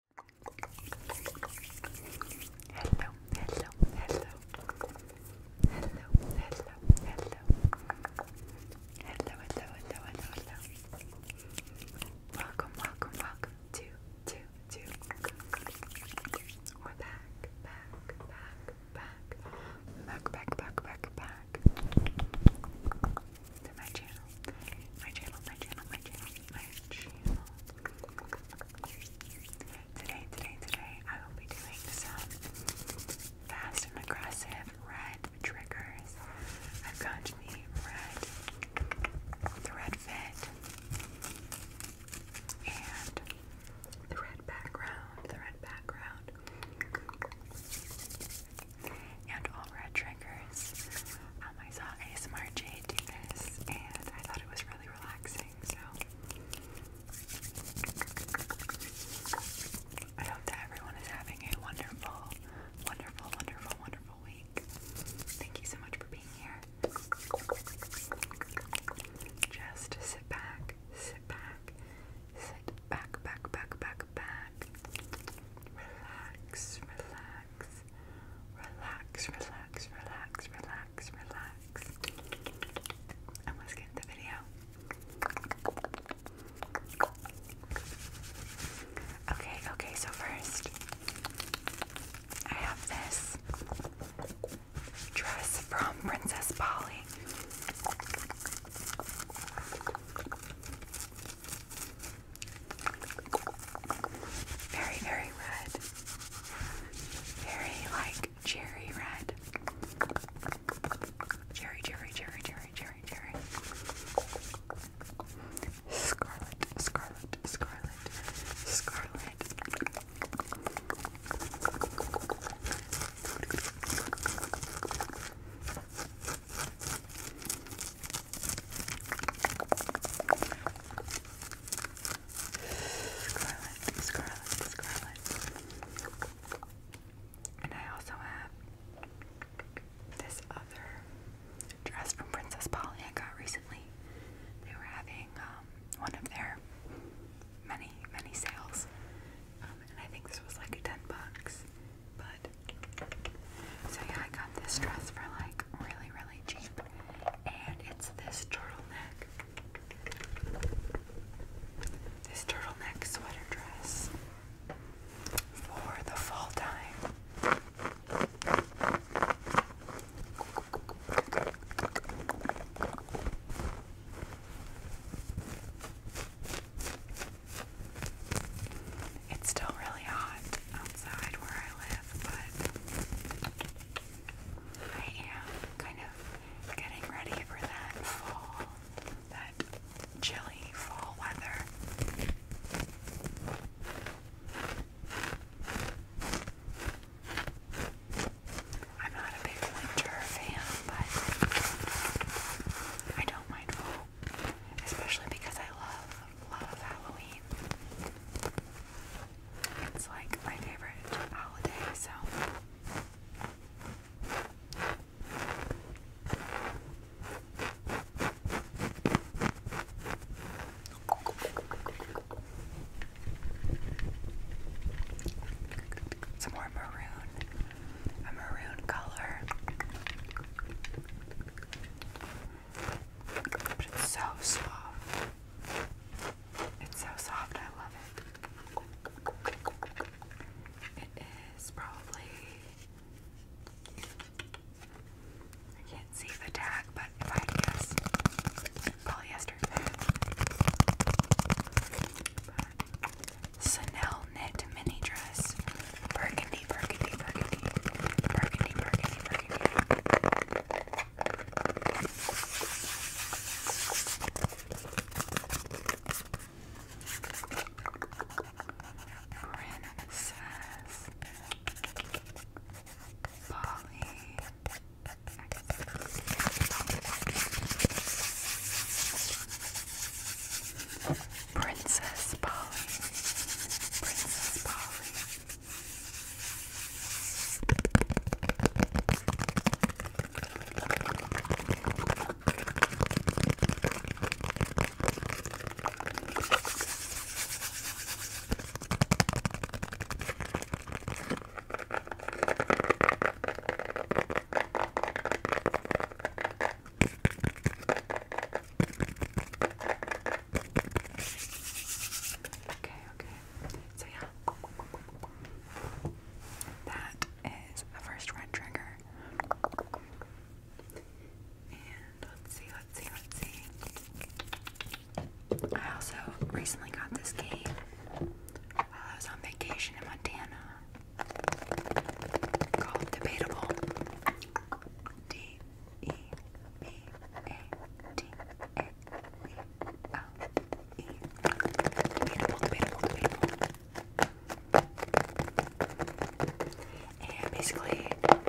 Hello, hello, hello. Hello, hello, hello. Hello, hello, hello, Welcome, welcome, welcome to, to, to. We're back, back, back, back. Back, back, back, back, back to my channel. My channel, my channel, my channel, Today, today, today, I will be doing some fast and aggressive red triggers. I've got the red, the red fit, and the red background, the red background, and red triggers. Um, I saw ASMR Jade do this, and I thought it was really relaxing, so I hope that everyone is having a wonderful, wonderful, wonderful, wonderful week. Thank you so much for being here. Just sit back, sit back, sit back, back, back, back, back. Relax, relax, Relax, relax, relax, relax, relax. And let's get the video. Okay, okay, so first, I have this dress from Princess Polly. Very, very red. Very like cherry red. Cherry, cherry, cherry, cherry, cherry, cherry. Scarlet, scarlet, scarlet, scarlet. Scarlet, scarlet, scarlet. And I also have this other dress from Princess Polly I got recently. They were having um, one of their many, many sales. Um, and I think this was like 10 bucks. But so yeah, I got this dress for like really, really cheap, and it's this turtleneck, this turtleneck sweater dress for the fall time. It's still really hot outside where I live, but I am kind of getting ready for that fall, that chilly fall weather. I'm not a big winter fan, but I don't mind fall, especially because I love love Halloween. It's like my favorite holiday, so some more maroon, a maroon color it's so soft. It's so soft, I love it. It is probably. I can't see the tag, but if I guess, polyester. Chanel knit mini dress, burgundy burgundy, burgundy, burgundy, burgundy, burgundy, burgundy. Princess Polly. Excellent. Princess Polly. Princess Polly. Okay, okay. So yeah. That is the first red trigger. And let's see, let's see, let's see. I also recently got this game while I was on vacation in Montana called Debatable. D E B A T A B L E. Debatable, debatable, debatable. And basically, um,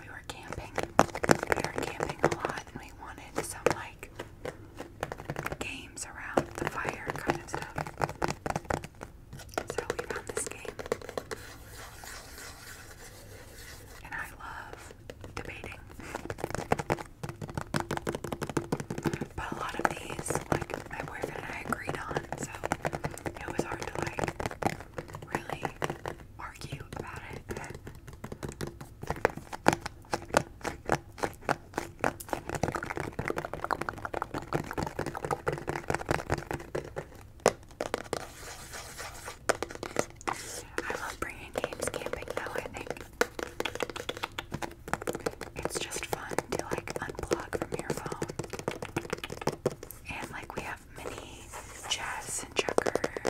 we were camping. We were camping a lot, and we wanted some like games around the fire kind of stuff. So we found this game. And I love debating. But a lot of these, like, my boyfriend and I agreed on, so it was hard to, like, really argue about it. I love bringing games camping though, I think. It's just fun to like unplug from your phone. And like we have mini chess and checkers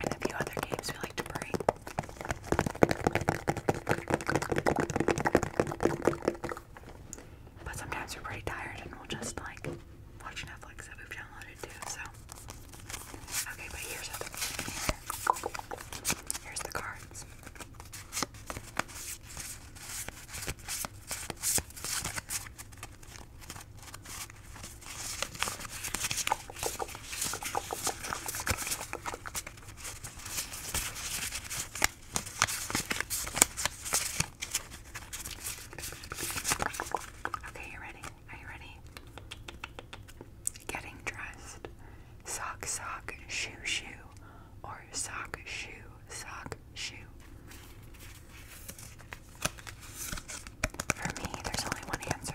and a few other games we like to bring. But sometimes we're pretty tired and we'll just like watch Netflix that we've downloaded too, so. Okay, but here's the cards. Okay, you ready? Are you ready? Getting dressed. Sock, sock, shoe, shoe. Or sock, shoe, sock, shoe. For me, there's only one answer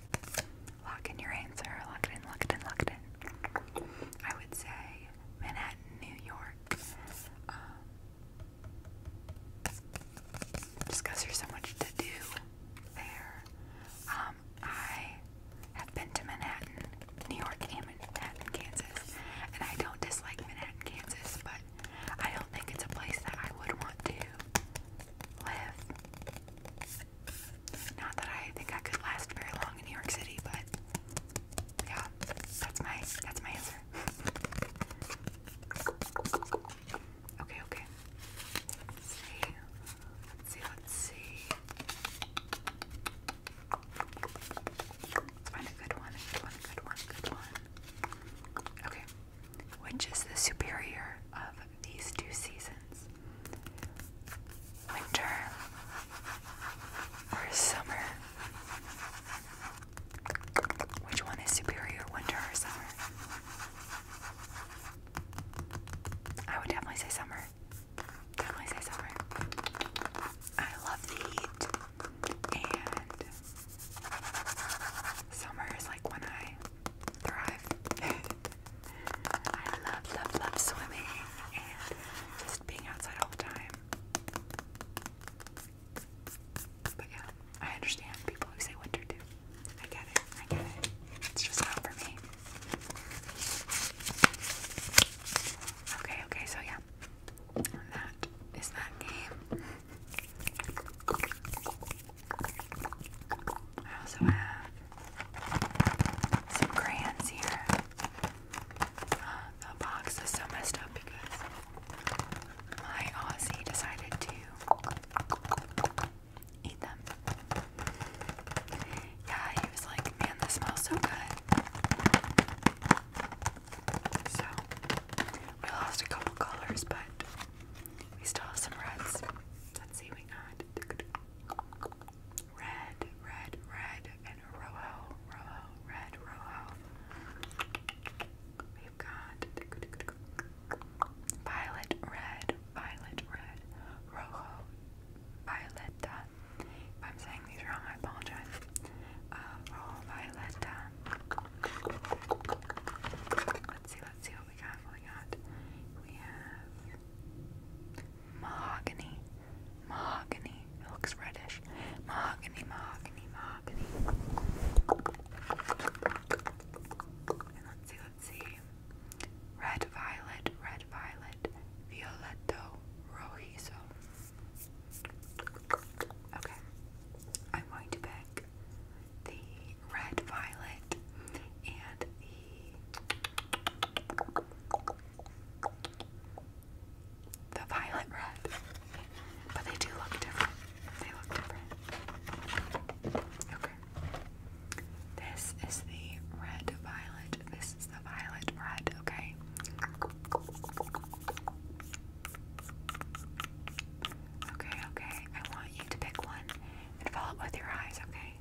Lock in your answer. Lock it in, lock it in, lock it in. I would say Manhattan, New York. Um, there's so much to do there. Um, I have been to Manhattan, New York, and Manhattan, Kansas. And I don't dislike Manhattan, Kansas, but I don't think it's a place that I would want to live not that I think I could last very long in New York City, but yeah, that's my that's my answer. okay, okay. Let's see. Let's see, let's see. Let's find a good one, a good one, a good one, good one. Okay. Which is the superior of these two seasons? winter or summer? Which one is superior, winter or summer? I would definitely say summer. Definitely say summer. I love the heat, and summer is like when I thrive. I love, love, love swimming and just being outside all the time. But yeah, I understand people who say winter too. I get it, I get it. It's just not for me. Okay, okay, so yeah. And that is that game. I also have some crayons here. the box is so messed up because my Aussie decided to eat them. Yeah, he was like, man, this smells so good. So, we lost a couple colors, but we still have some reds. Let's see, we got Red, red, red, and rojo, rojo, red, rojo. We've got violet, red, violet, red, rojo, violeta. If I'm saying these wrong, I apologize. Uh, rojo, violeta. Let's see, let's see what we got. What we got? We have Mahogany. Mahogany. It looks reddish. Mahogany, mahogany, mahogany. let's see, let's see. Red violet, red violet, violetto, rojizo. Okay. I'm going to pick the red violet and the the violet red. But they do look different. They look different. Okay. This is the red violet. This is the violet red, okay? Okay, okay. I want you to pick one and follow it with your eyes, okay?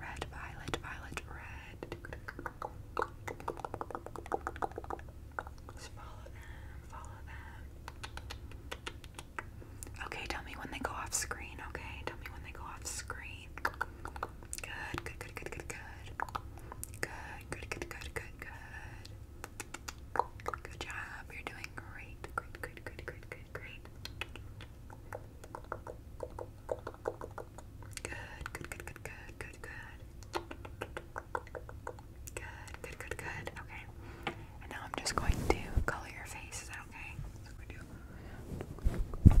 Red, violet, violet, red. Okay, tell me when they go off screen, okay? Tell me when they go off screen. Good, good, good, good, good, good. Good, good, good, good, good, good. Good job, you're doing doing great. Great, great, great, great, great, great. Good, good, good, good, good, good, good. Good, good, good, good. Okay. And now I'm just going to color your face. Is that okay? That's what we do. Good,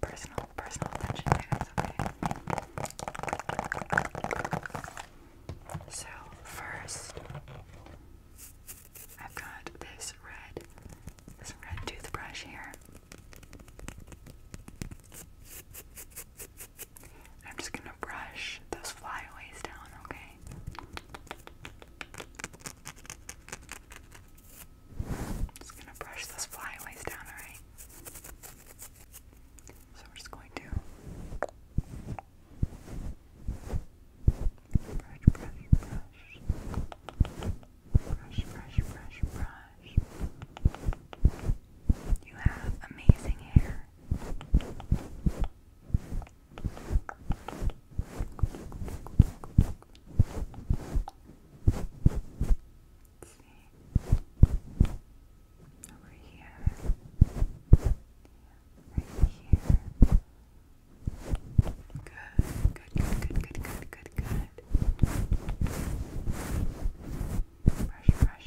personal, personal attention okay. So first, I've got this red, this red toothbrush here. I'm just gonna brush those flyaways down, okay? Just gonna brush those flyaways down, alright? So we're just going to brush, brush, brush. Brush, brush, brush, brush. You have amazing hair. Let's see. Over here. Right here. Good, good, good, good, good, good, good. Brush, brush, brush,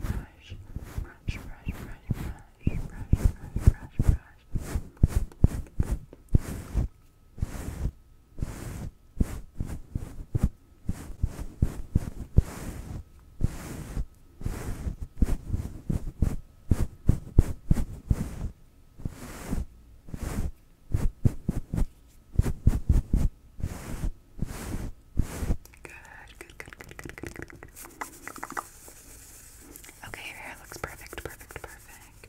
brush. Brush, brush, brush, brush. Brush, brush, brush, brush. Good, good, good, good, good, good, Okay, your hair looks perfect, perfect, perfect.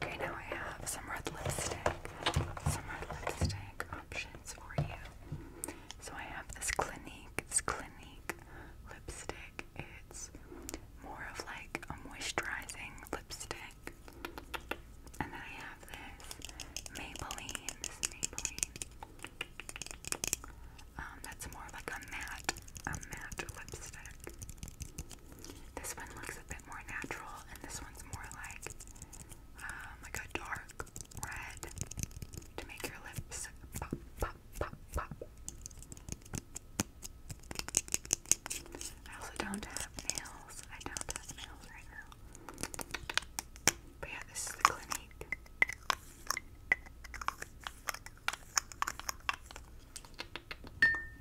Okay, now I have some red lipstick, some red lipstick options for you. So I have this Clinique, it's Clinique lipstick. It's more of like a moisturizing lipstick. And then I have this Maybelline, this Maybelline. Um, that's more like a matte, a matte lipstick. This one looks a bit more natural, and this one's more like um, like a dark red to make your lips pop, pop, pop, pop. I also don't have nails. I don't have nails right now. But yeah, this is the Clinique.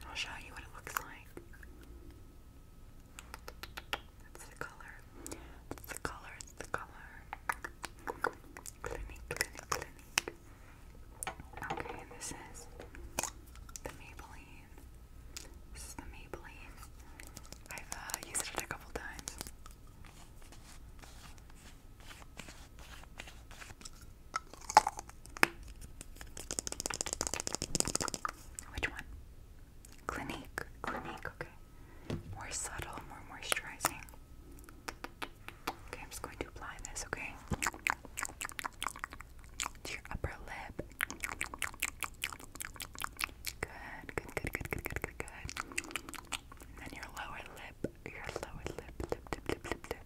I'll show you what it looks like. That's the color. It's the color. It's the color. Clinique, clinique, clinique. Okay, this is the Maybelline. This is the Maybelline. I've uh, used it a couple times. Which one? Clinique. Clinique, okay. More subtle, more moisturizing. Okay, I'm just going to apply this, okay? To your upper lip. Good, good, good, good, good, good, good, good. And your lower lip your lower lip, lip, lip, lip, lip, lip.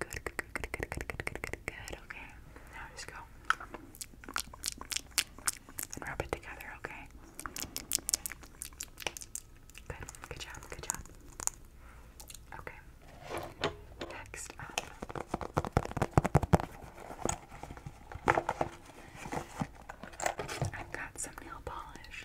Good, good, good, good, good, good, good, good, good, Okay, now just go and rub it together. Okay. Good, good job, good job. Okay. Next up. I've got some nail polish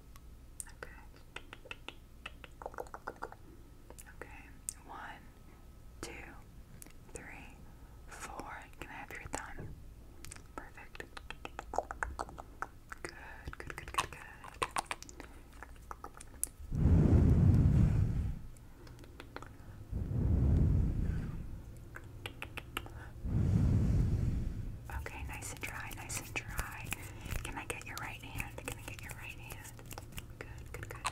Okay. Okay. One, two, three, four. Can I have your thumb? Perfect. Good, good, good, good, good. Okay, nice and dry, nice and dry. Can I get your right hand? Can I get your right hand? Good, good, good.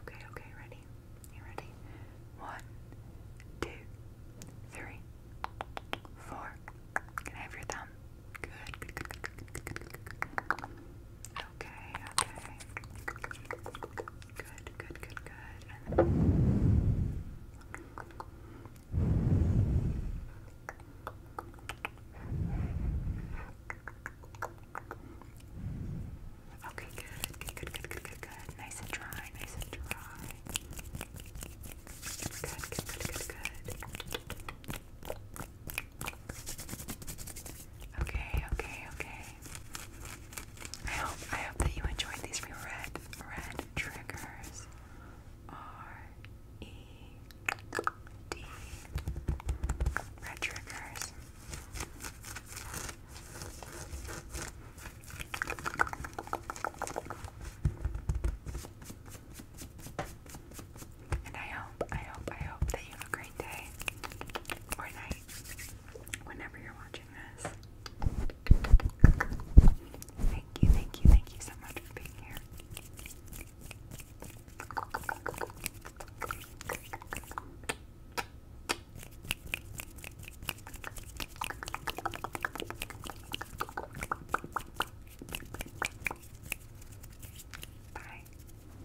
Okay, okay, ready? You ready? One, two, three, four. Can I have your thumb? Good, good, good, good, Okay, okay. Good, good, good, good. Okay, good, good, good, good, good, good. Nice and dry, nice and dry. Good, good, good, good, good. Okay, okay, okay. I hope I hope that you enjoyed these red red triggers. R E D red triggers. And I hope, I hope, I hope that you have a great day or night whenever you're watching this. Thank you, thank you, thank you so much for being here. Bye.